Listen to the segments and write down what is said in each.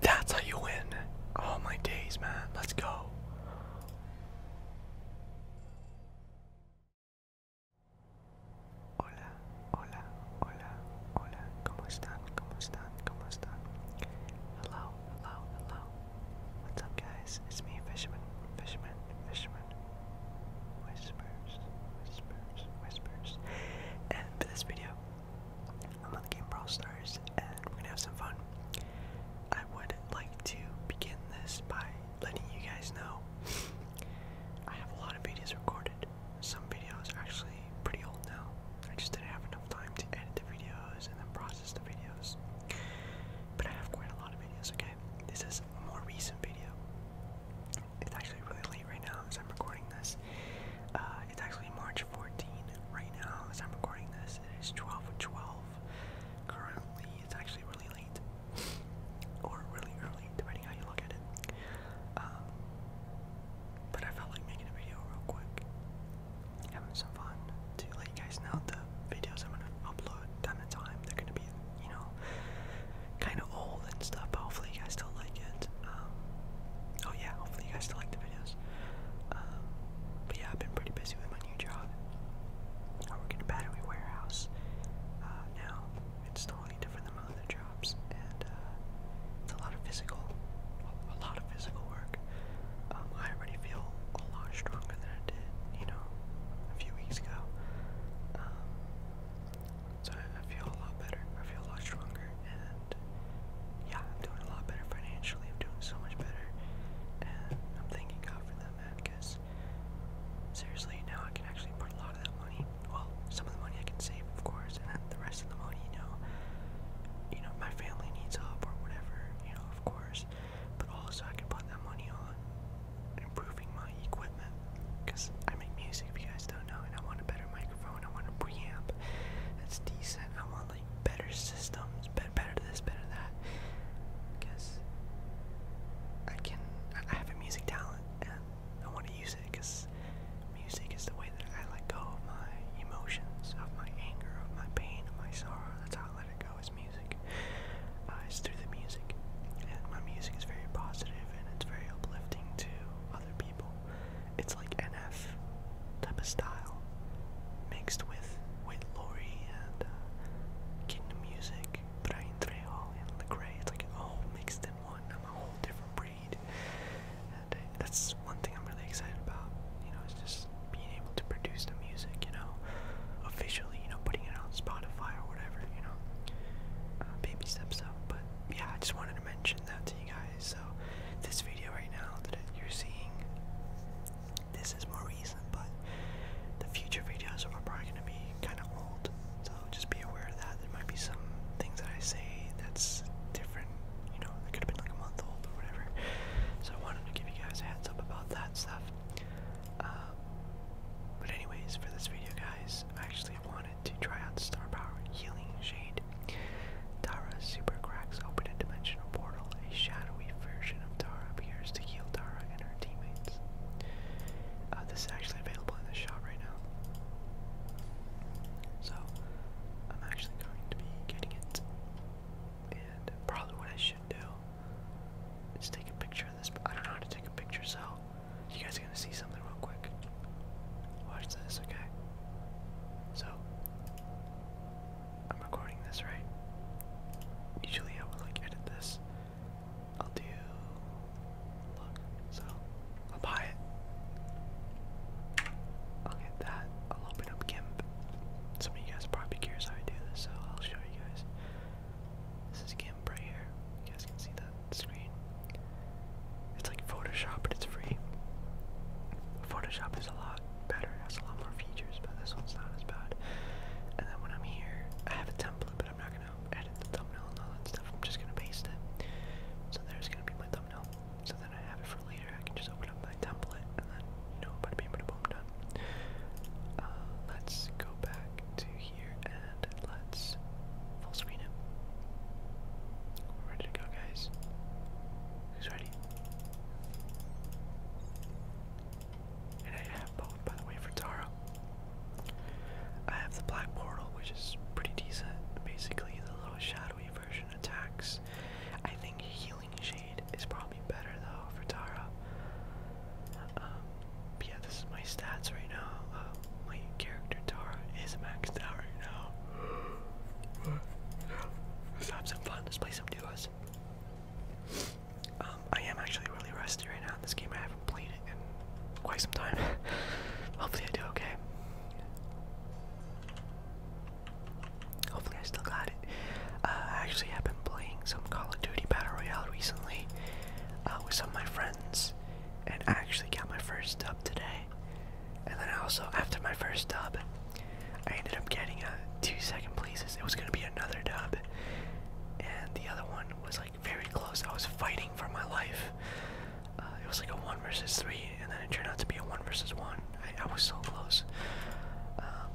That's how you win. All my days, man. Let's go. Hola, hola, hola, hola. ¿Cómo están? ¿Cómo están? ¿Cómo están? Hello, hello, hello. What's up, guys? It's me, Fisherman, Fisherman, Fisherman. Whispers, whispers, whispers. And for this video, I'm on the game Brawl Stars, and we're gonna have some fun. I would like to begin this by letting you guys know I have a lot of videos recorded. Some videos are actually pretty old now. I just didn't have enough time to edit the videos and then process the videos. But I have quite a lot of videos, okay? This is a more recent video it's actually really late right now as I'm recording this. Uh, it's actually March 14 right now as I'm recording this. It is 12 12 currently. It's actually really late. or really early, depending how you look at it. Um, but I felt like making a video real quick. Having some fun to let you guys know the videos I'm gonna upload time to time. They're gonna be, you know, kinda old and stuff, hopefully you guys still like it. Um, oh yeah, hopefully you guys still like the videos. Um, but yeah, I've been pretty busy with my new job. I work in a battery warehouse uh, now. It's totally different than my other jobs, and uh, it's a lot of physical, a lot of physical work. Um, I already feel a lot stronger than I did, you know, a few weeks ago. So I, feel a lot better. I feel a lot stronger, and yeah, I'm doing a lot better financially. I'm doing so much better, and I'm thanking God for that, man. Because seriously, now I can actually put a lot of that money. Well, some of the money I can save, of course, and then the rest of the money, you know, you know, my family needs help or whatever, you know, of course. But also, I can put that money on improving my equipment because I make music. you guys just do And I want a better microphone. I want a preamp that's decent. I want like better systems, better, better this, better that. Because I can, I have a music talent, and I want to use it. Because music is the way that I let go of my emotions, of my anger, of my pain, of my sorrow. That's how I let it go. Is music. Uh, through the music, and my music is very positive and it's very uplifting to other people. It's like NF type of style, mixed with Wait Lori and uh, Kingdom Music, Brian Trejo and Legray. It's like all mixed in one. I'm a whole different breed, and that's one thing I'm really excited about. You know, it's just being able to produce the music. You know, officially. You know, putting it on Spotify or whatever. You know, uh, baby steps up. But yeah, I just wanted to mention that to you guys. So this video right now that you're seeing, this is more recent, but the future videos are probably gonna be kind of old. So just be aware of that. There might be some things that I say that's different. You know, it could have been like a month old or whatever. So I wanted to give you guys a heads up about that stuff. Uh, but anyways, for this video, guys, I actually wanted to try out Star Power Healing Shade. Tara super cracks open a dimensional portal. A shadowy version of Tara appears to heal Tara and her teammates. Uh, this is actually available in the shop right now. So, I'm actually going to be getting it. And probably what I should do is take a picture of this. I don't know how to take a picture, so you guys are going to see something real quick. Watch this, okay? So, I'm recording this, right? Usually I would like edit this. I'll do. Look, so, I'll buy it. I'll get that. I'll open up GIMP. Some of you guys probably curious how I do this, so I'll show you guys. This is GIMP right here. You guys can see the screen. It's like Photoshop, but it's free. Photoshop is a lot better, it has a lot more features, but this one's not as bad. And then when I'm here, I have a template, but I'm not gonna edit the thumbnail and all that stuff. I'm just gonna paste it. So there's gonna be my thumbnail. So then I have it for later. I can just open up my template and then you know, bada bing, bada boom, done. Uh, let's go back to here and let's full screen it. ready to go, guys. Who's ready? And I have both, by the way, for Tara. I have the Black Portal, which is pretty decent. Basically, the little shadowy version attacks. I think Healing Shade is probably better, though, for Tara. Um, yeah, this is my stats right now. Uh, my character Tara is maxed out right now. Let's have some fun. Let's play some duos. Um, I am actually really rusty right now this game. I haven't played in quite some time. Hopefully, I do okay. Hopefully, I still got it. Uh, I actually have been playing some Call of Duty Battle Royale recently uh, with some of my friends, and actually got my first dub today. And then also, after my first dub, I ended up getting a two second places. It was gonna be another dub, and the other one was like very close. I was fighting for my life. Uh, it was like a one versus three, and then it turned out to be a one versus one. I, was so close. Um,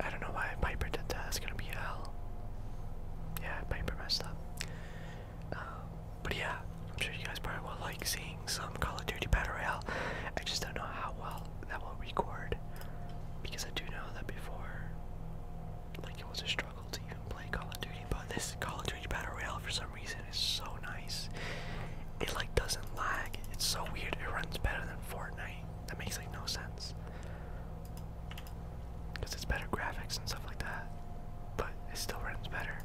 I don't know why Piper did that. It's gonna be hell. Yeah, Piper messed up. Um, but yeah, I'm sure you guys probably will like seeing some Call of Duty Battle Royale. I just don't know how well that will record because I do know that before, like it was a struggle to even play Call of Duty. But this Call of Duty Battle Royale, for some reason, is so nice. It like doesn't lag. It's so weird. It runs better than Fortnite. That makes like no sense. Because it's better graphics and stuff like that. But it still runs better.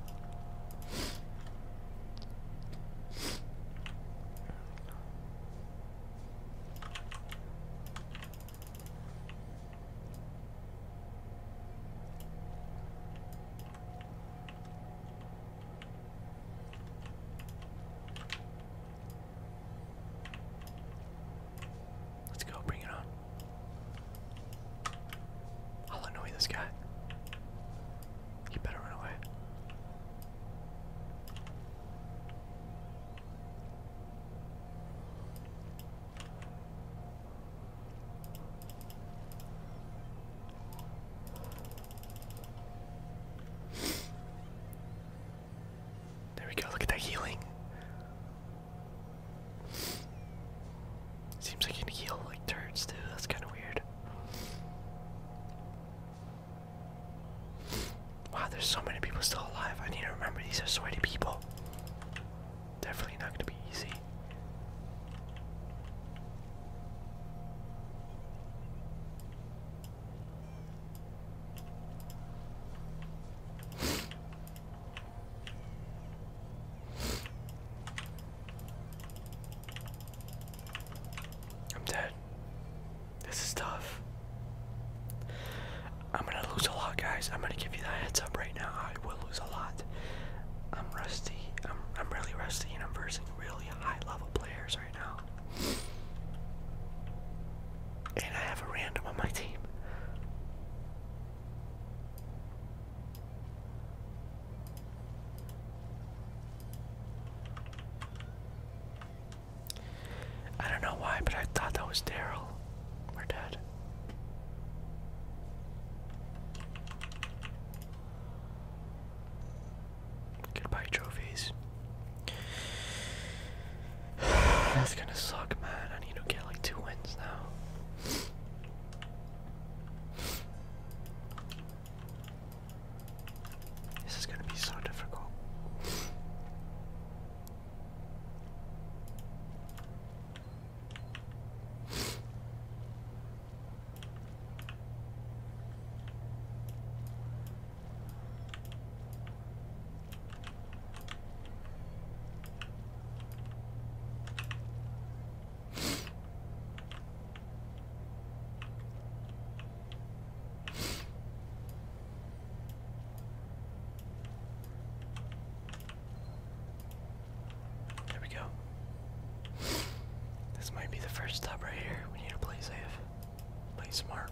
Let's go, bring it on. I'll annoy this guy. You better run away. There we go, look at that healing. Seems like you can heal like too, that's kinda weird. Wow, there's so many people still alive. I need to remember these are sweaty people. Definitely not going to be easy. I'm dead. This is tough. I'm gonna lose a lot, guys. I'm gonna give you that heads up right now. I will lose a lot. I'm rusty. I'm I'm really rusty, and I'm versing really high-level players right now. And I have a random on my team. I don't know why, but I thought that was Daryl. We're dead. Goodbye, trophies. That's gonna suck, man. I need to get like two wins now. This is going to be so difficult. There we go. This might be the first stop right here. We need to play safe, play smart.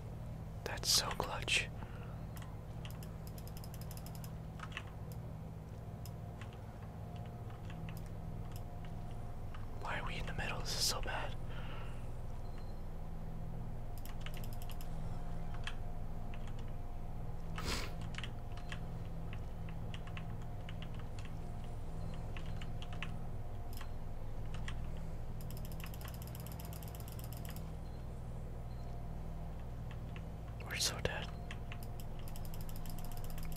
That's so clutch. Why are we in the middle? This is so bad. We're so dead.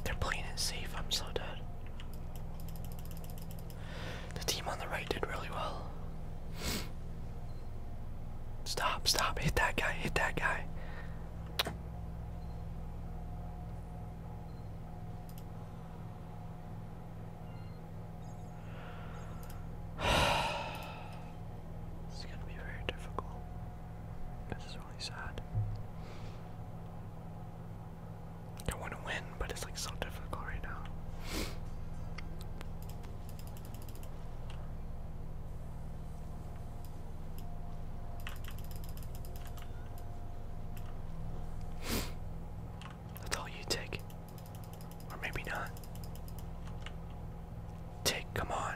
They're playing it safe. I'm so dead. The team on the right did really well. Stop, stop, hit that guy, hit that guy this is gonna be very difficult. This is really sad. I want to win, but it's like so difficult right now. That's all you take. Or maybe not. Tick, come on.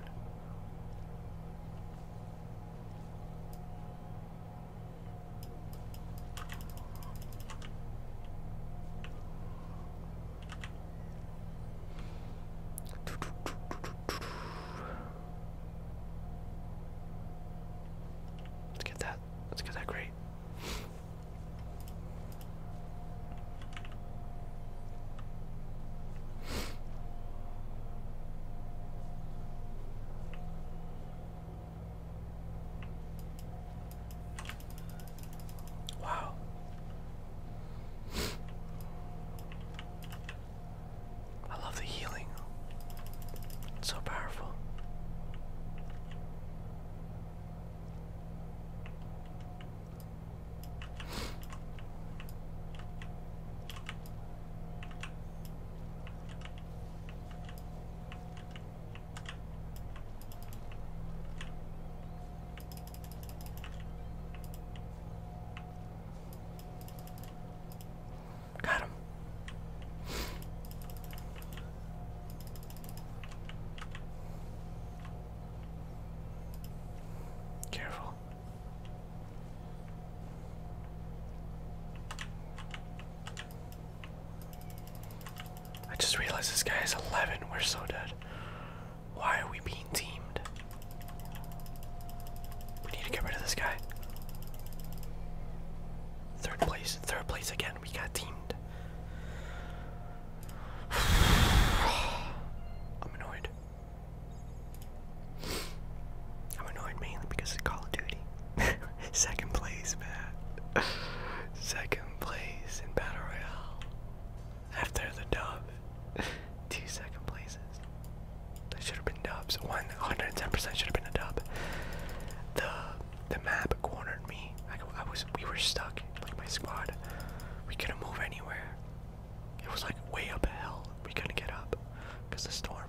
Let's get that. Let's get that great. Wow. I love the healing. It's so powerful. Got him. Careful. I just realized this guy is 11. We're so dead. Why are we being teamed? We need to get rid of this guy. Third place. Third place again. We got teamed. I'm annoyed. I'm annoyed mainly because of Call of Duty. Second place, man. Second place in Battle Royale. After the dub. Two second places. They should have been dubs. 110% should have been a dub. The the map cornered me. I, I was we were stuck, like my squad. We couldn't move anywhere. It was like way up a hill. We couldn't get up because the storm.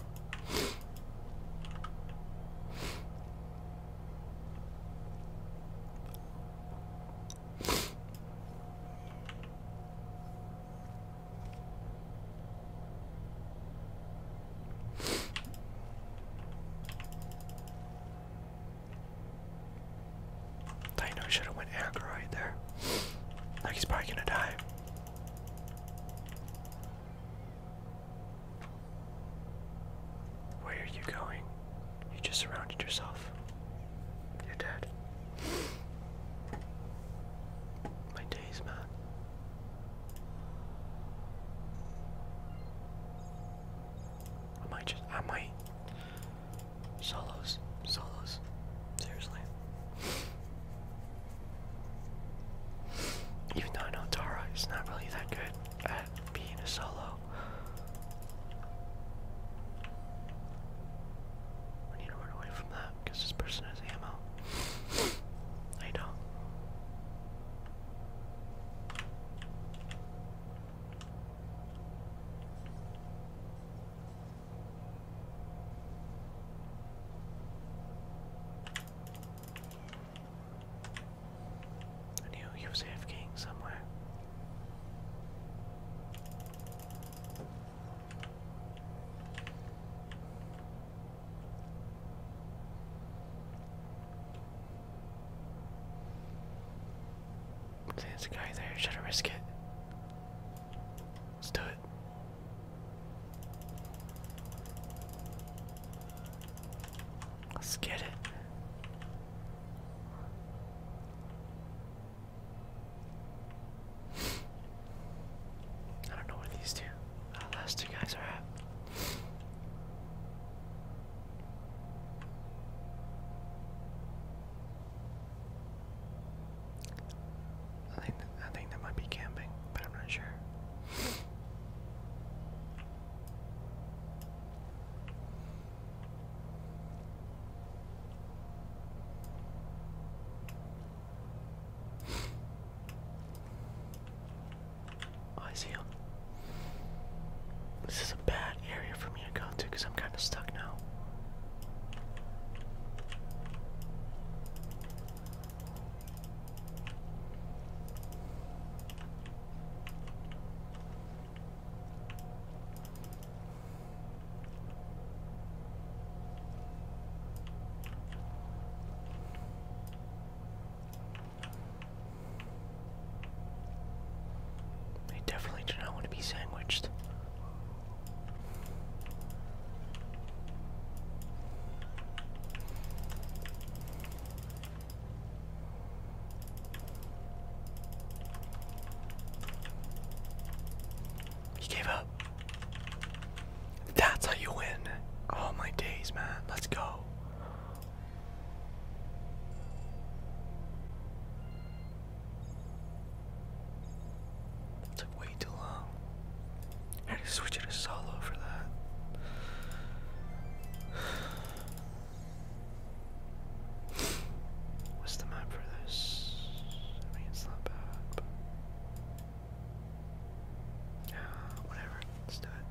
I know Dino should have went aggro right there. Like he's probably gonna die. Where are you going? You just surrounded yourself. You're dead. My days, man. I might just, I might. Solos, solos. Seriously. Even though I know Tara is not really that good at being a solo. I need to run away from that because this person has ammo. I do I knew he was king somewhere. There's a guy there. Should I risk it? Let's do it. Let's get it. I don't know where these two, uh, last two guys are at. I think, I think that might be camping, but I'm not sure. Oh, I see him. This is a bad area for me to go to because I'm kind of stuck now. I definitely do not want to be sandwiched. He gave up. That's how you win. Oh my days, man. Let's go took way too long. had to switch it to solo for that. What's the map for this? I mean, it's not bad. But... whatever. Let's do it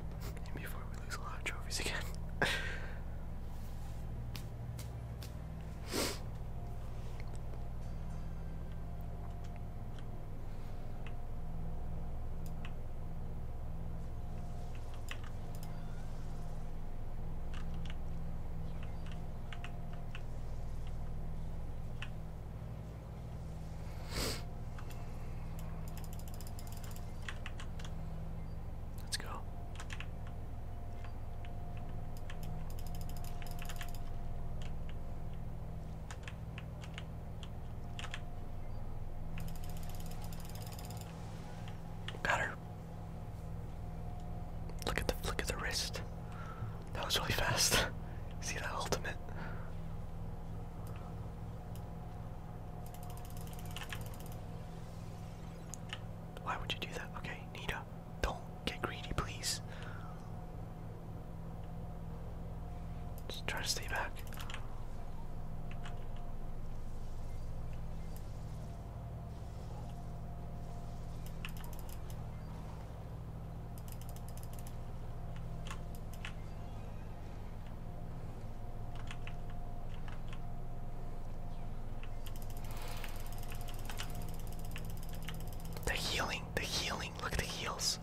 before we lose a lot of trophies again. Let's go. Got her. Look at the flick of the wrist. That was really fast. See that ultimate. Why would you do that? Okay, Nita, don't get greedy, please. Just try to stay back. The healing, the healing, look at the heals.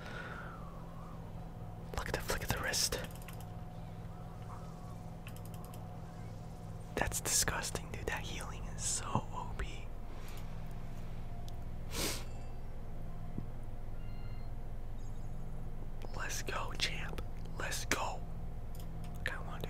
Look at the flick of the wrist. That's disgusting, dude. That healing is so OP. Let's go, champ. Let's go. I wanna do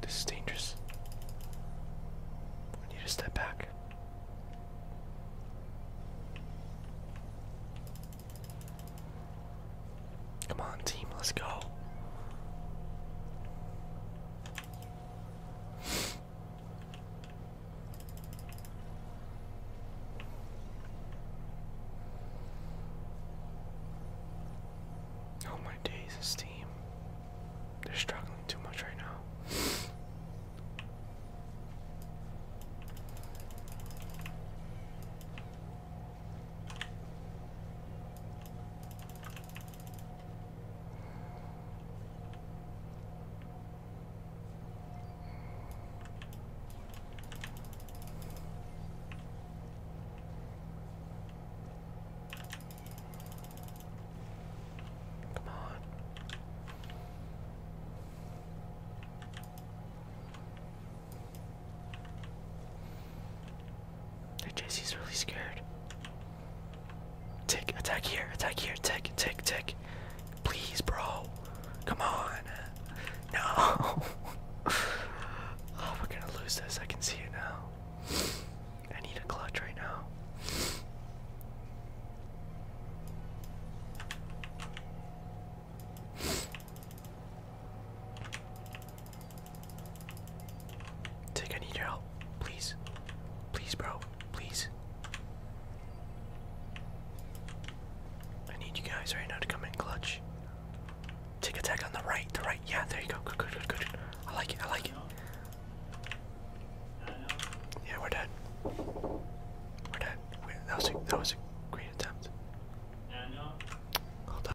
This is dangerous. We need to step back. Come on, team, let's go. Oh my days, this team. They're struggling too much right now. Come on. Hey, Jesse's really scared. Tick, attack here, attack here, tick, tick, tick. Please, bro. Come on. No. oh, we're gonna lose this. I can see it now. I need a clutch right now. Take, I need your help. Please. Please, bro. Please. I need you guys right now to come in clutch. Tick attack on the right, the right. Yeah, there you go. Good, good, good, good. I like it, I like it. Yeah, we're dead. We're dead. that, was a, that was a great attempt. Hold on.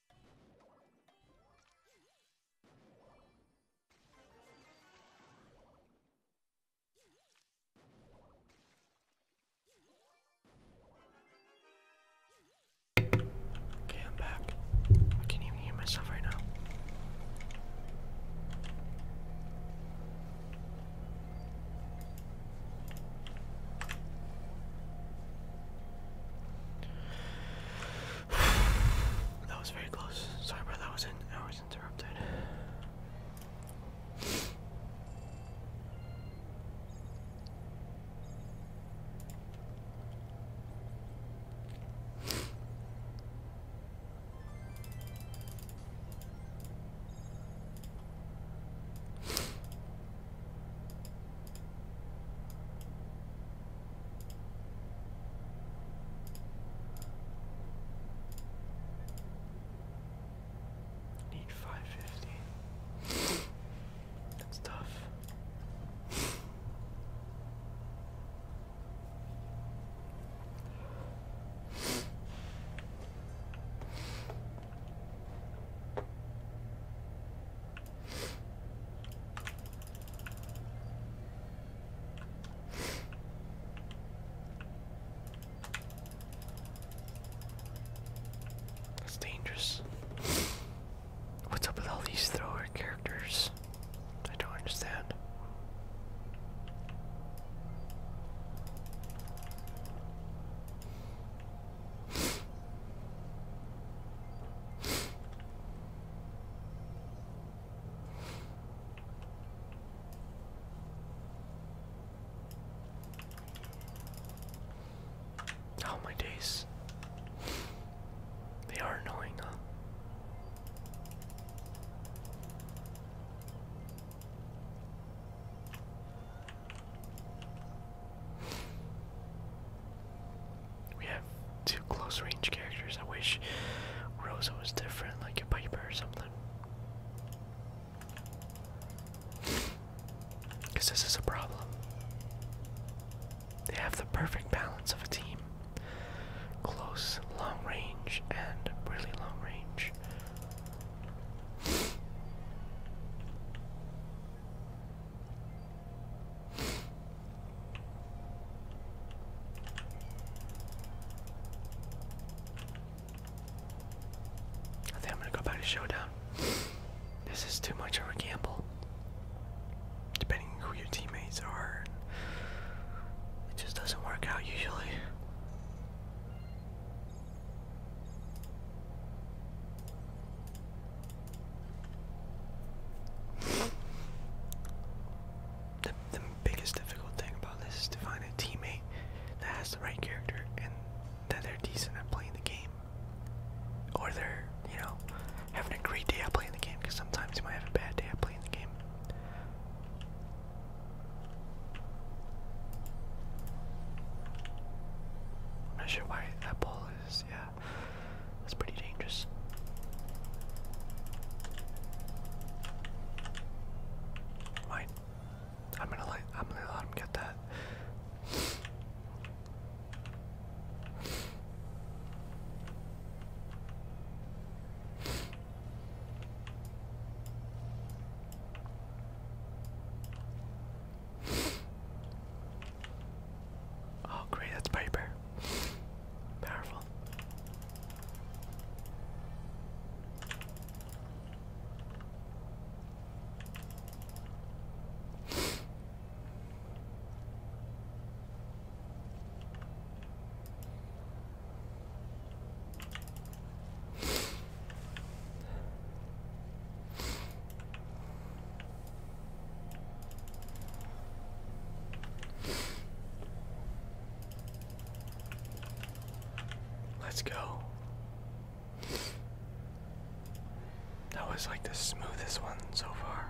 Okay, I'm back. I can't even hear myself right now. that was very close. Sorry, bro. that was in I was interrupted. Need five fifty. That's tough. That's dangerous. What's up with all these thrower characters? I don't understand. Oh my days. They are annoying, we have two close range characters. I wish Rosa was different, like a Piper or something. Because this is a problem. They have the perfect balance of a team close, long range, and really long range. I think I'm gonna go back to Showdown. This is too much of a gamble. Depending who your teammates are, it just doesn't work out usually. The, the biggest difficult thing about this is to find a teammate that has the right character and that they're decent at playing the game. Or they're, you know, having a great day at playing the game because sometimes you might have a bad day at playing the game. I'm not sure why that ball is, yeah. That's pretty dangerous. I'm gonna let I'm gonna let him get that. Oh, great, that's Piper. Powerful. Let's go. That was like the smoothest one so far.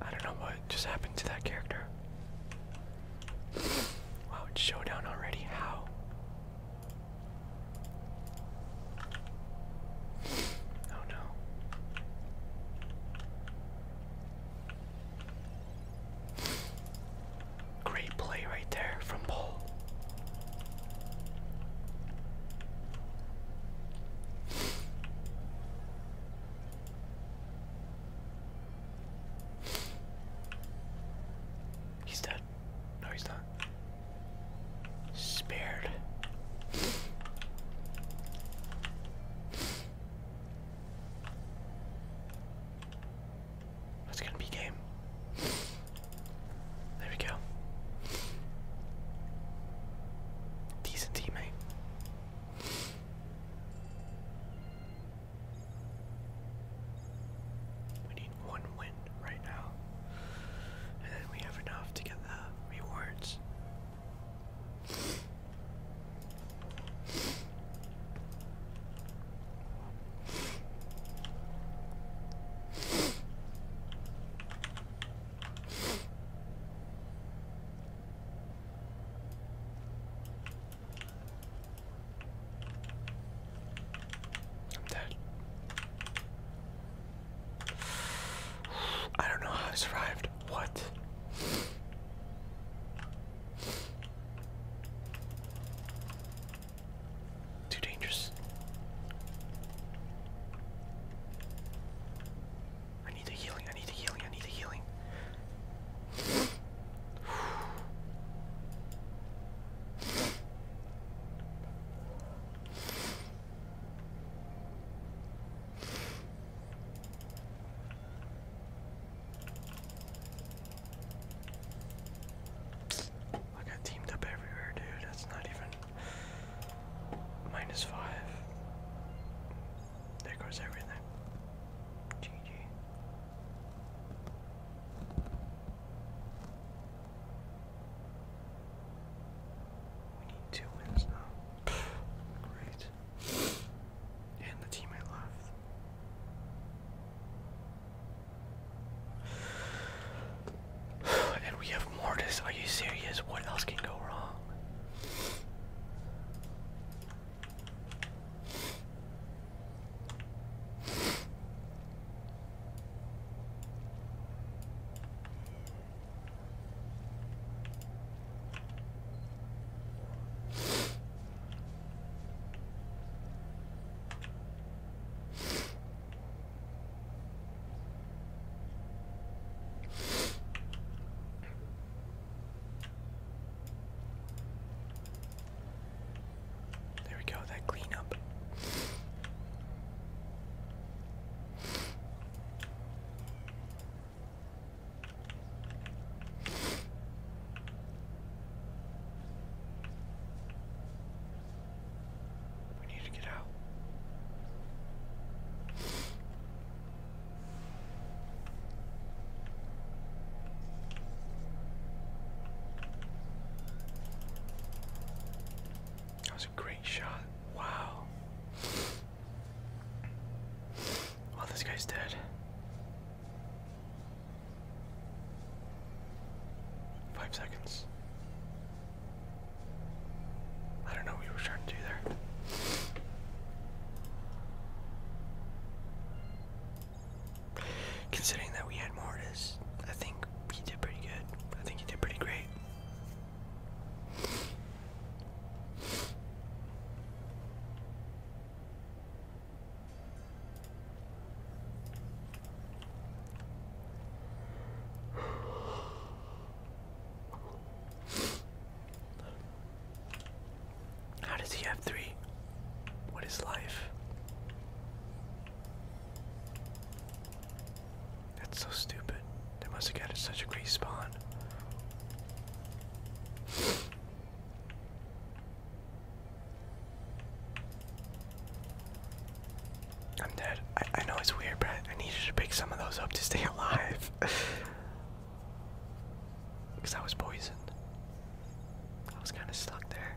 I don't know what just happened to that character. Wow, it's showdown already. How? Oh no. Great play right there from Paul. He's dead. No, he's not. Spared. That's gonna be game. There we go. Decent teammate. We need one win right now. And then we have enough to get the rewards i I don't know how I survived. What? Too dangerous. I need the healing, I need the healing, I need the healing. I teamed up everywhere, dude. That's not even minus five. There goes everything. GG. We need two wins now. Great. And the team I left. And we have Mortis. Are you serious? What else can go wrong? There we go, that cleanup. We need to get out. That was a great shot. Wow. Well, oh, this guy's dead. Five seconds. I don't know what we were trying to do there. Considering that we had Mortis, I think he did pretty good. I think he did pretty great. How does he have three? What is life? That's so stupid. They must have got such a great spawn. I'm dead. I, know it's weird, but I needed to pick some of those up to stay alive. Because I was poisoned. I was kind of stuck there.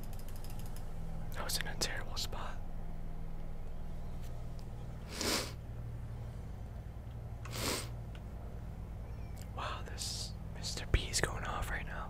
That was in a terrible spot. Wow, this Mr. B is going off right now.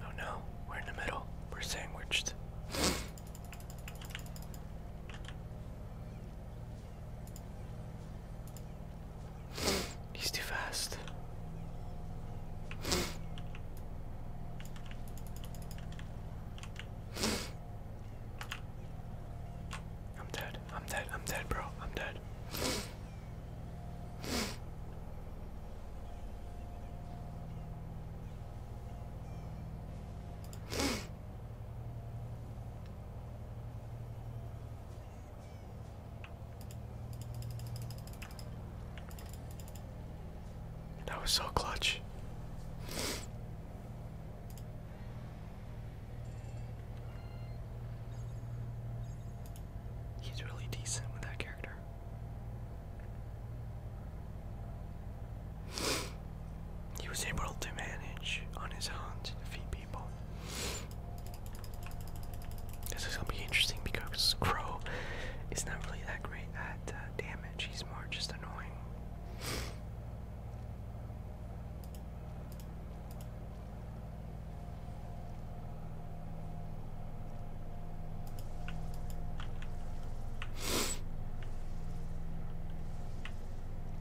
Oh no, we're in the middle. We're sandwiched. He's too fast. I'm dead. I'm dead. I'm dead, bro. I'm dead. That was so clutch. He's really decent with that character. He was able to manage on his own to defeat this is gonna be interesting because Crow is not really that great at uh, damage. He's more just annoying.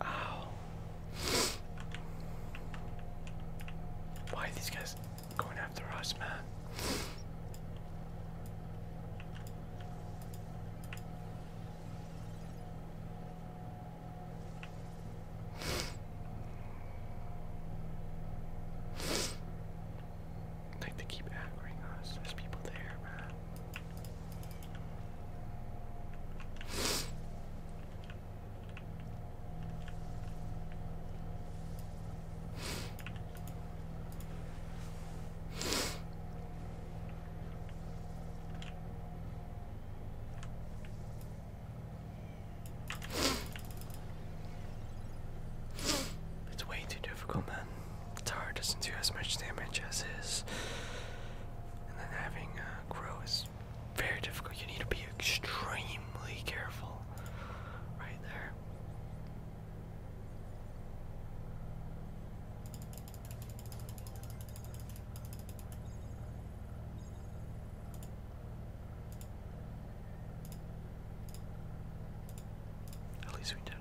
Uh Why are these guys going after us, man? they keep angering us. There's people there, man. It's way too difficult, man. The tower doesn't do as much damage as is. And then having a uh, grow is very difficult. You need to be extremely careful right there. At least we did it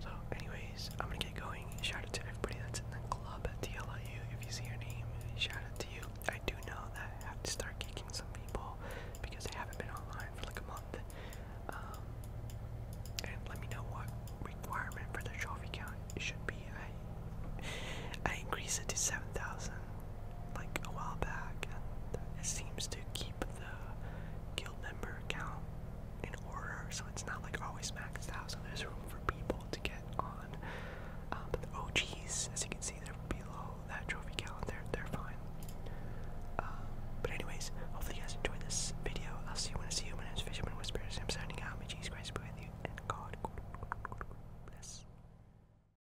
So, anyways, I'm gonna get going. Shout out to everybody that's in the club at TLIU. If you see your name, shout out to you. I do know that I have to start kicking some people because I haven't been online for like a month. Um, and let me know what requirement for the trophy count should be. I I it to seven thousand like a while back, and it seems to keep the guild member count in order, so it's not like always maxed out. So there's room for people to get on. Um, but the OGs, as you can see, they're below that trophy count. They're they're fine. Um, but anyways, hopefully you guys enjoyed this video. I'll see you when I see you. My name is Fisherman Whispers. I'm signing out. May Jesus Christ be with you and God bless.